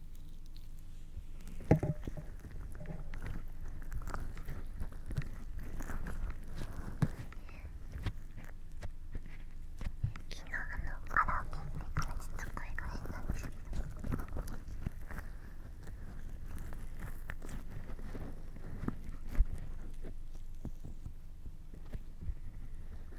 昨日あのカラオケ行ってからちょっと声が変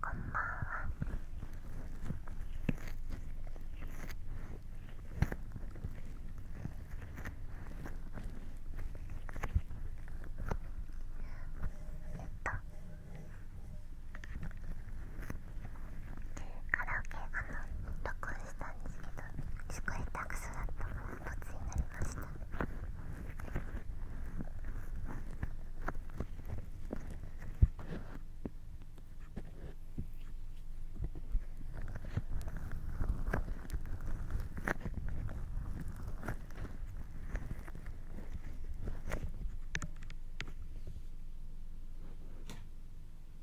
こんばんはカラオケがどこ音したんですけどすごい下手くそだったからボツになりました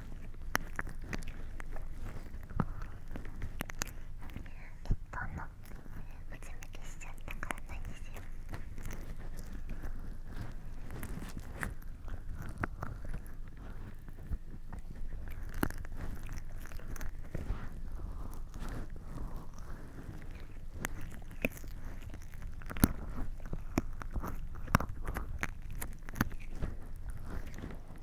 結婚の内向きしちゃったからないんですよ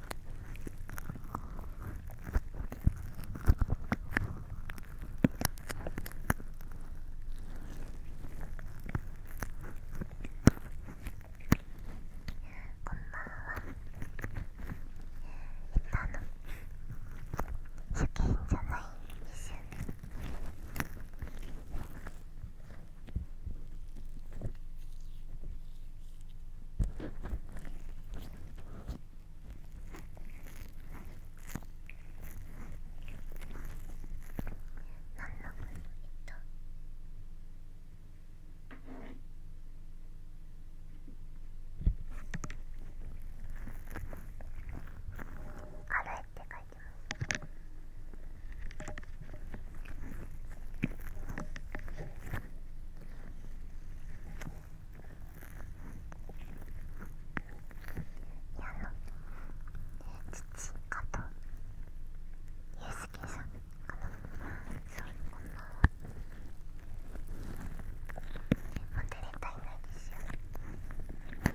初見じゃないんですよあるって書いてます。やろう、ねえ、父かとゆうすけさんかなそうこんもんはモテれたいないですよはい、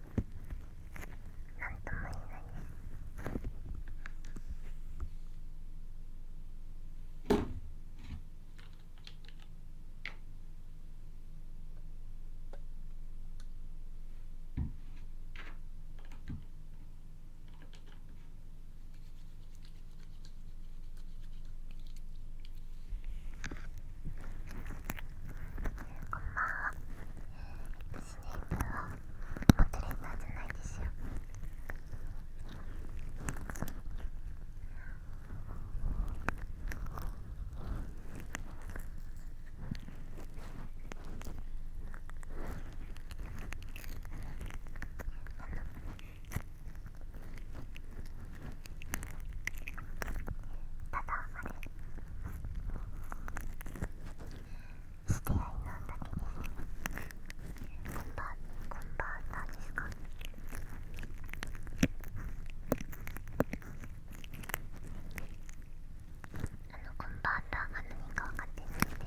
なんとも言えないこんばんはは持レーターじゃないですよあのただあれ。りしてやりなんだけどこんばんこんばんなんですかあのこんばんは何か分かってないんであ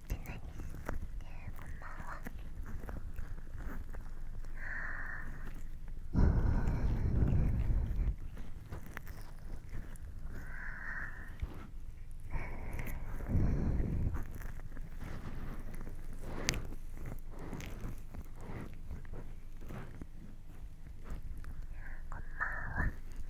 ってない、えー、こんばんはこんばんは。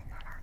生ならあのっ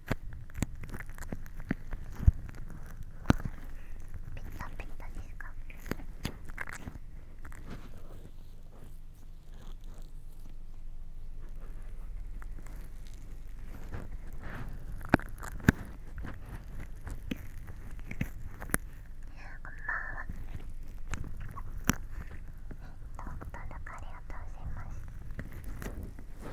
ッタピタですかこんばんは。えっと、登録ありがとうございます。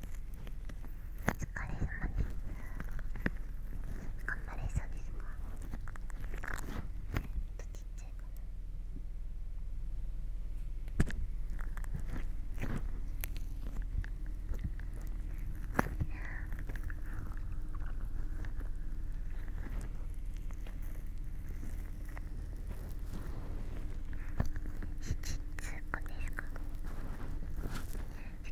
疲れ様です頑張れそうですかちっちゃいつ子子ですか。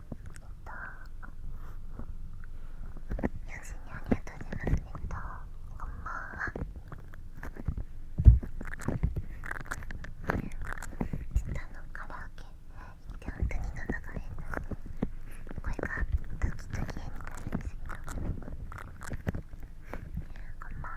よ親にありがとうございますえっとこんばんは下のカラオケ行って本当に喉が変な声がドキドになるんですけどこんばんは。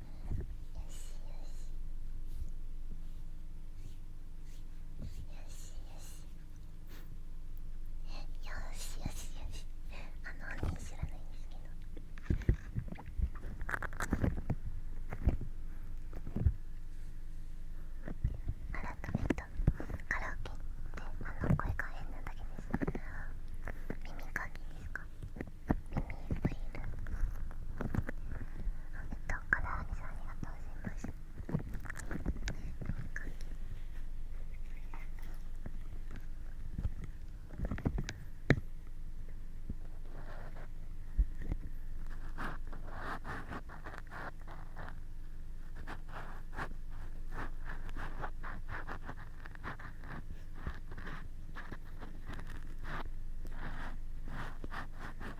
よしよしよしよよよし。しし。あの本人知らないんですけど改めたカラオケってあの声が変なだけです耳かきですかいっあからあみありがとうございますあ痛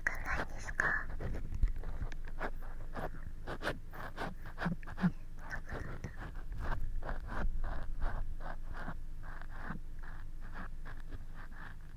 くないですか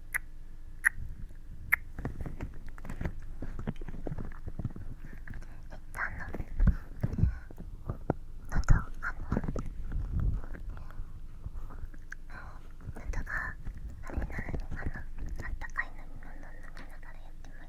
あれならのかなあったかいの、飲み物飲みながらやってます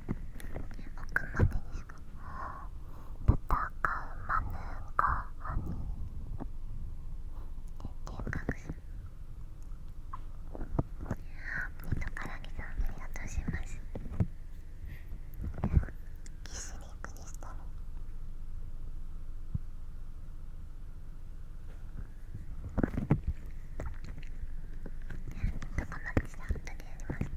奥までですか戦うマヌカハニーえ、幻覚さんミトカラギさんありがとうしますキスリクにしたのとかまきさん、後でやります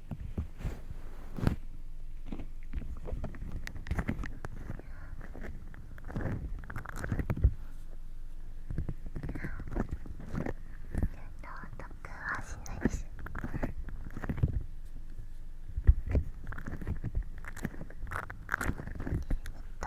はしないですえっと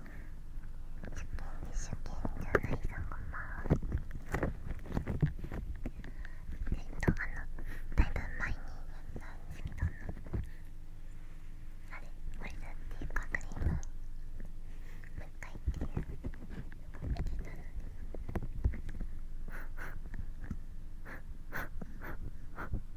初見懸命じゃないさんこんばんはえっとあのだいぶ前にやったスミドンのあれこれだっていうかクリームもう一回っていう見てたので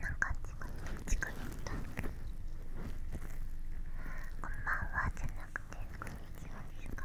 なんか近くにったこんばんはじゃなくてこんにちはですか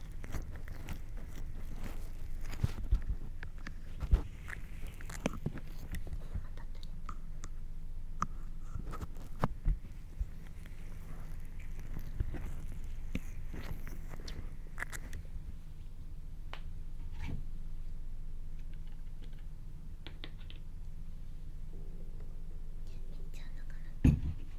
ちゃうのかな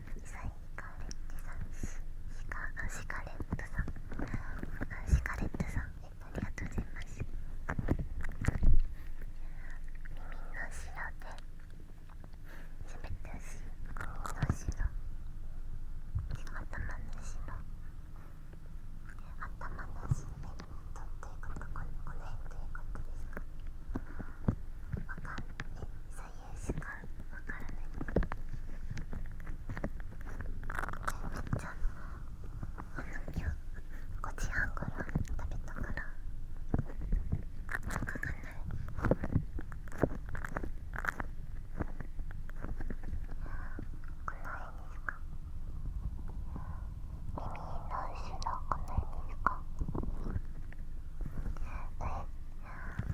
サイカレッジさんシカあシカレットさんあシカレットさんありがとうございます耳の後ろで喋めてほしい耳の後ろ頭の後ろ頭の後ろとどういうことこの辺ということですかわかんない。言しかわからないめっあの今日5時半ごろ食べたからわかんないこの辺ですか耳の後ろこの辺ですかえ、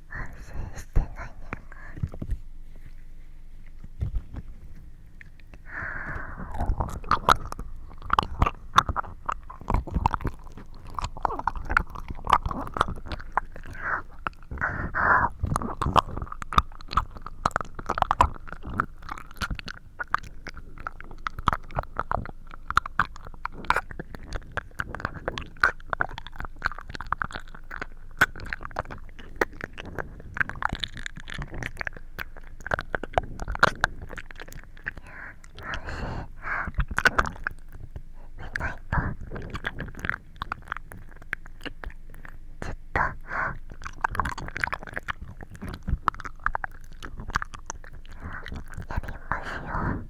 反省してないねやり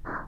ますよ。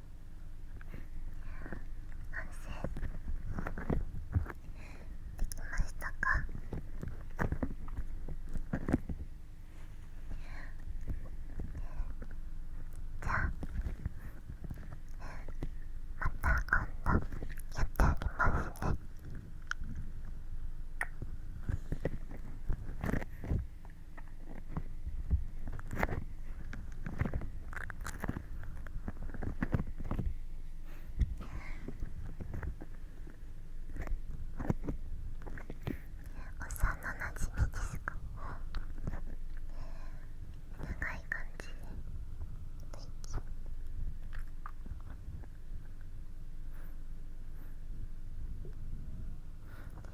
反省できましたかじゃあまた今度やってあげますね。なじみですか長い感じで大きい。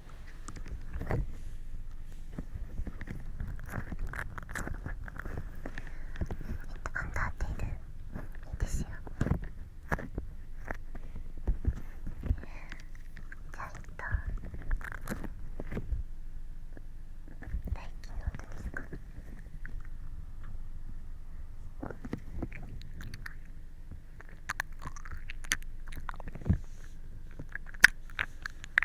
えっと、アンダーテイルいいですよええ、じゃあえっと大気の音ですか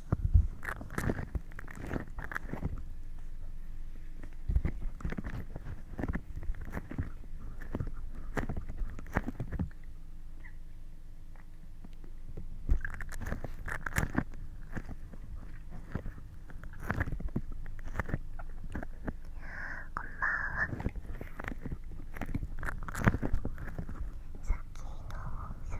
こんば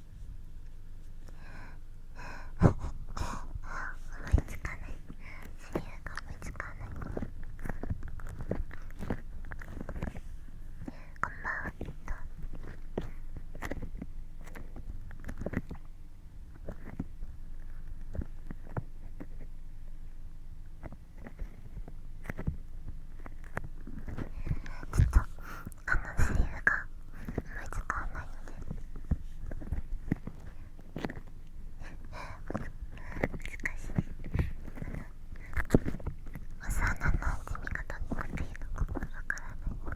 思いつかないセリフが思いつかないこんばんはえちょっとあのセリフが思いつかないので難しい幼おなの染み方っていうのがわからないんで。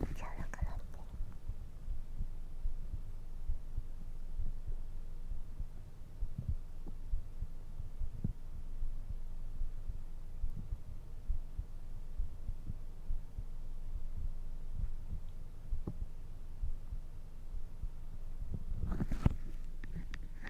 めっちゃなくって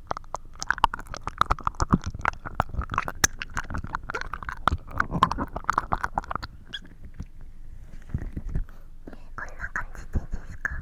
こんな感じでいいですか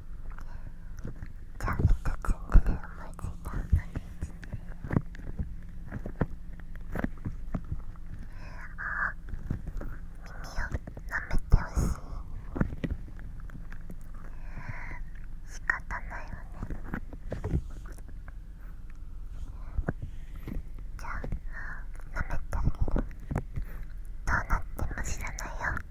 じゃあ、一つ目のいつい同じあ耳を舐めてほしい仕方ないわねじゃあ舐めてあげるどうなっても知らないよ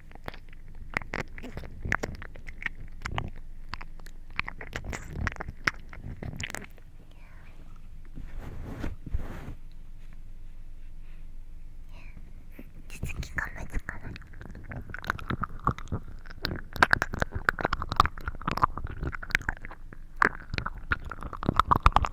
手つきが難しい。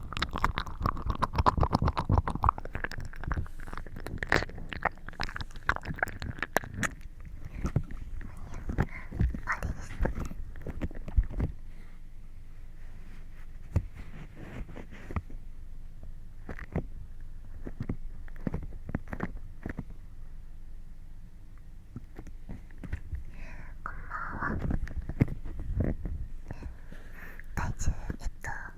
ん。ん。体重えっと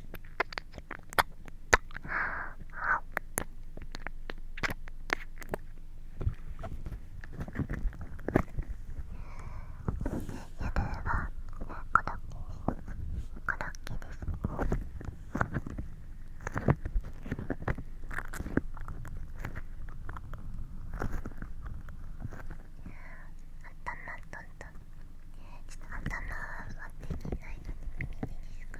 頭とんとちょっと頭はできないので耳でいいですか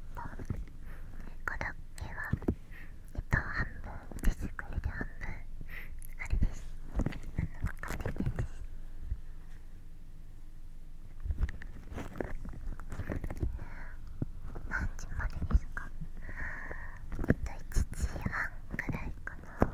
本コロッケはえっと半分手作りで半分あれですあの買ってです何時までですかえと1時半くらいかな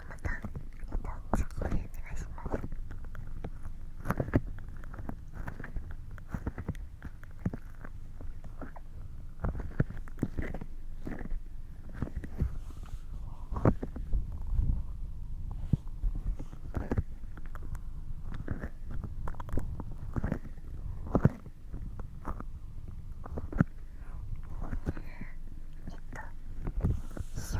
はまた、えっと、参考でお願いします。えっと、塩地で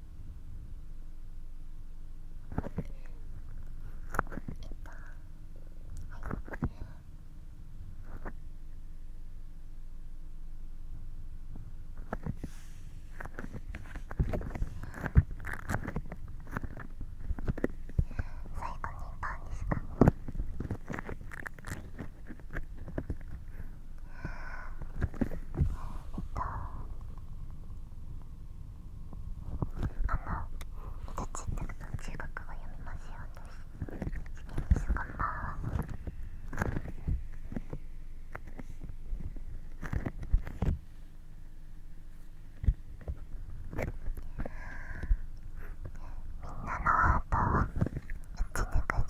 最後にパンでした。えっとあのうちで、中学を読みますよう私こんばんはみんなのハートを打ち抜くぞ。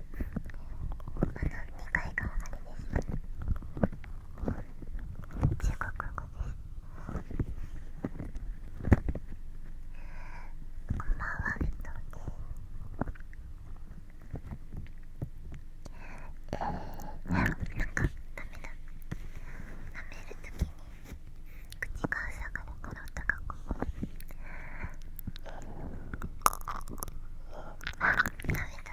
あの、階があれです中国語ですこんばんはうとですえー、なんかダメだ舐めるときに口がう塞がるから音がこうだめた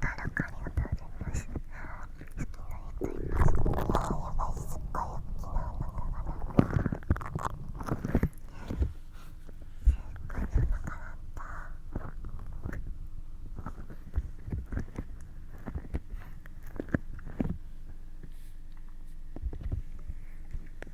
あらかありがとうございます。好きな人いますかやばい、すっごい大きな穴がな。すっごい穴がなった。あ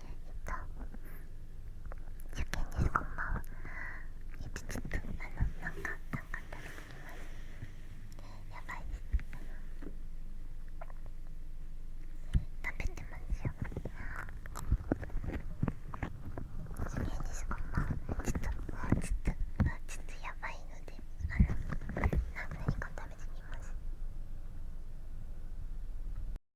と初見にごまをちょっとあのなんかなんか食べてますやばいです食べてますよ初見にごまをちょっとちょっとちょっとやばいのであの何か食べてみます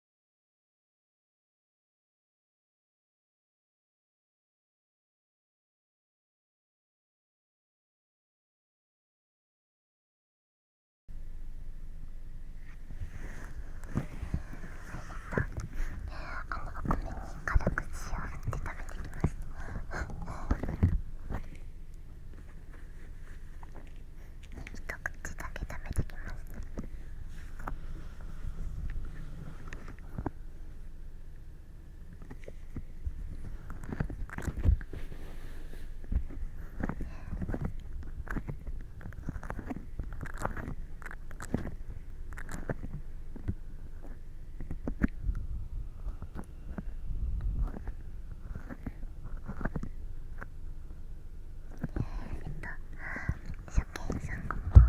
お米に軽く塩を振って食べてきます。一口だけ食べてきます。えっと初見さんこんばんは。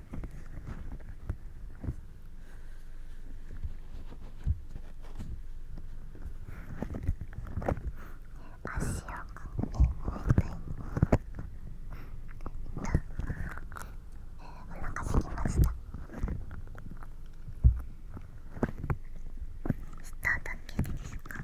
足を組んで寝たいお腹すきましたしただけですか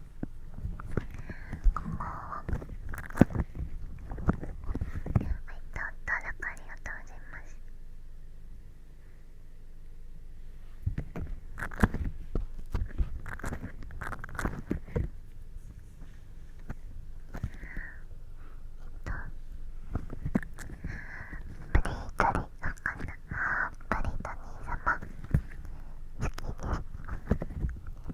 こんばは。い、どう登ありがとうございます。えっと、プリートリ、わかんなプリーリ兄様、好きです。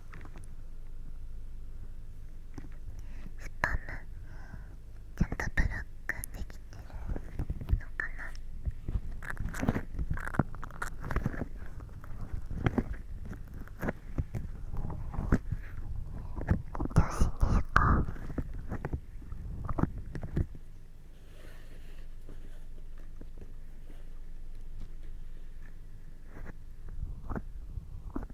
スパムちゃんとブロックできてるのかな調子にいこう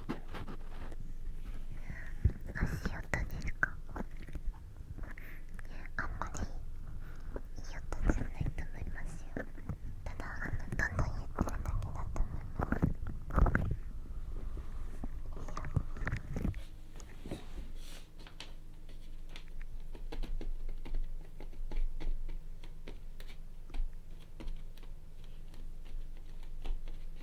足音ですかあんまりいい音じゃないと思いますよただどんどん言ってるだけだと思いますいいよえ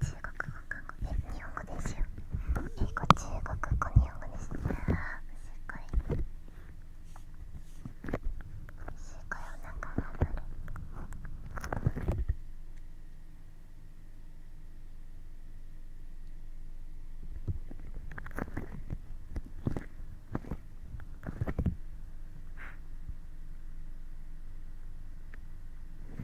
中国語韓国え日本語ですよ英語中国語日本語ですすごいすごいお腹が鳴るえっと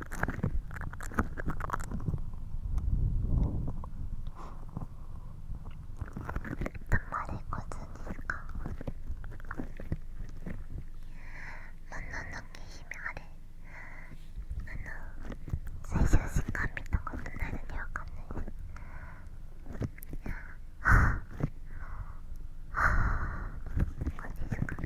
たまれこずにかなのなんだっけ姫あれあの最初しか見たことないのにわかんないですはあはあこっちですか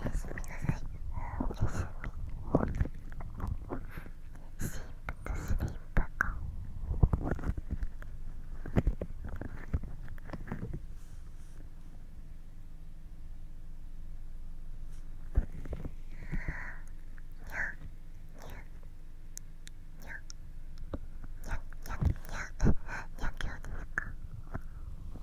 おやすみなさいおやすみシープとスリープかにゃにゃにゃにゃにゃにゃにゃにゃにゃにゃ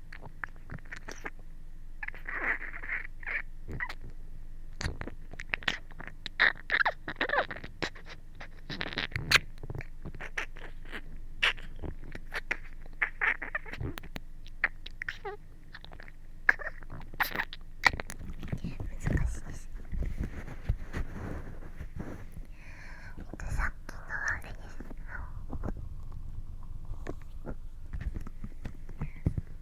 難しいですでさっきのあれです。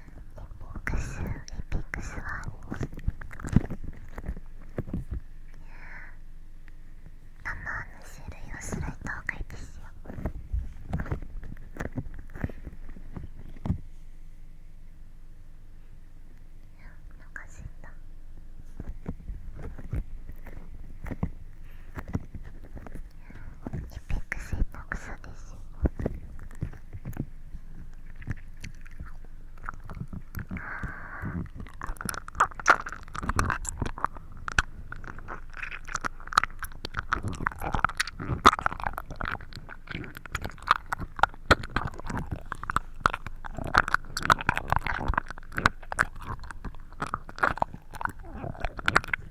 ピックスエピックスは生の種類を揃えた方がいいですよおかしいんだえイペックス下手くそです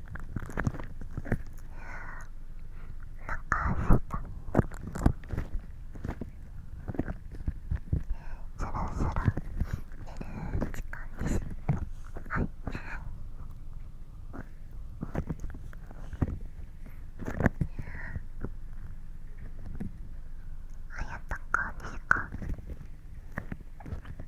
中したそろそろ寝る時間ですはいあやったかにしか。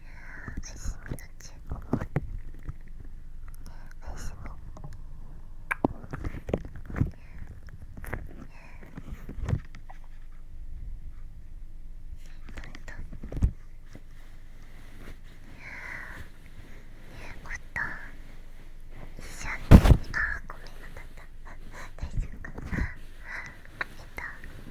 おやすみっちおやすみえっとえっと一緒にあーごめんなさい大丈夫かなえっと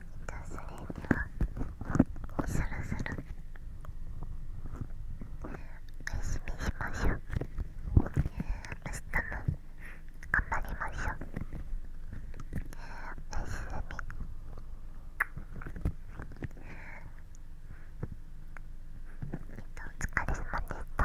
とそれにはそろそろお休みしましょう明日も頑張りましょうおやみえっとお疲れ様でした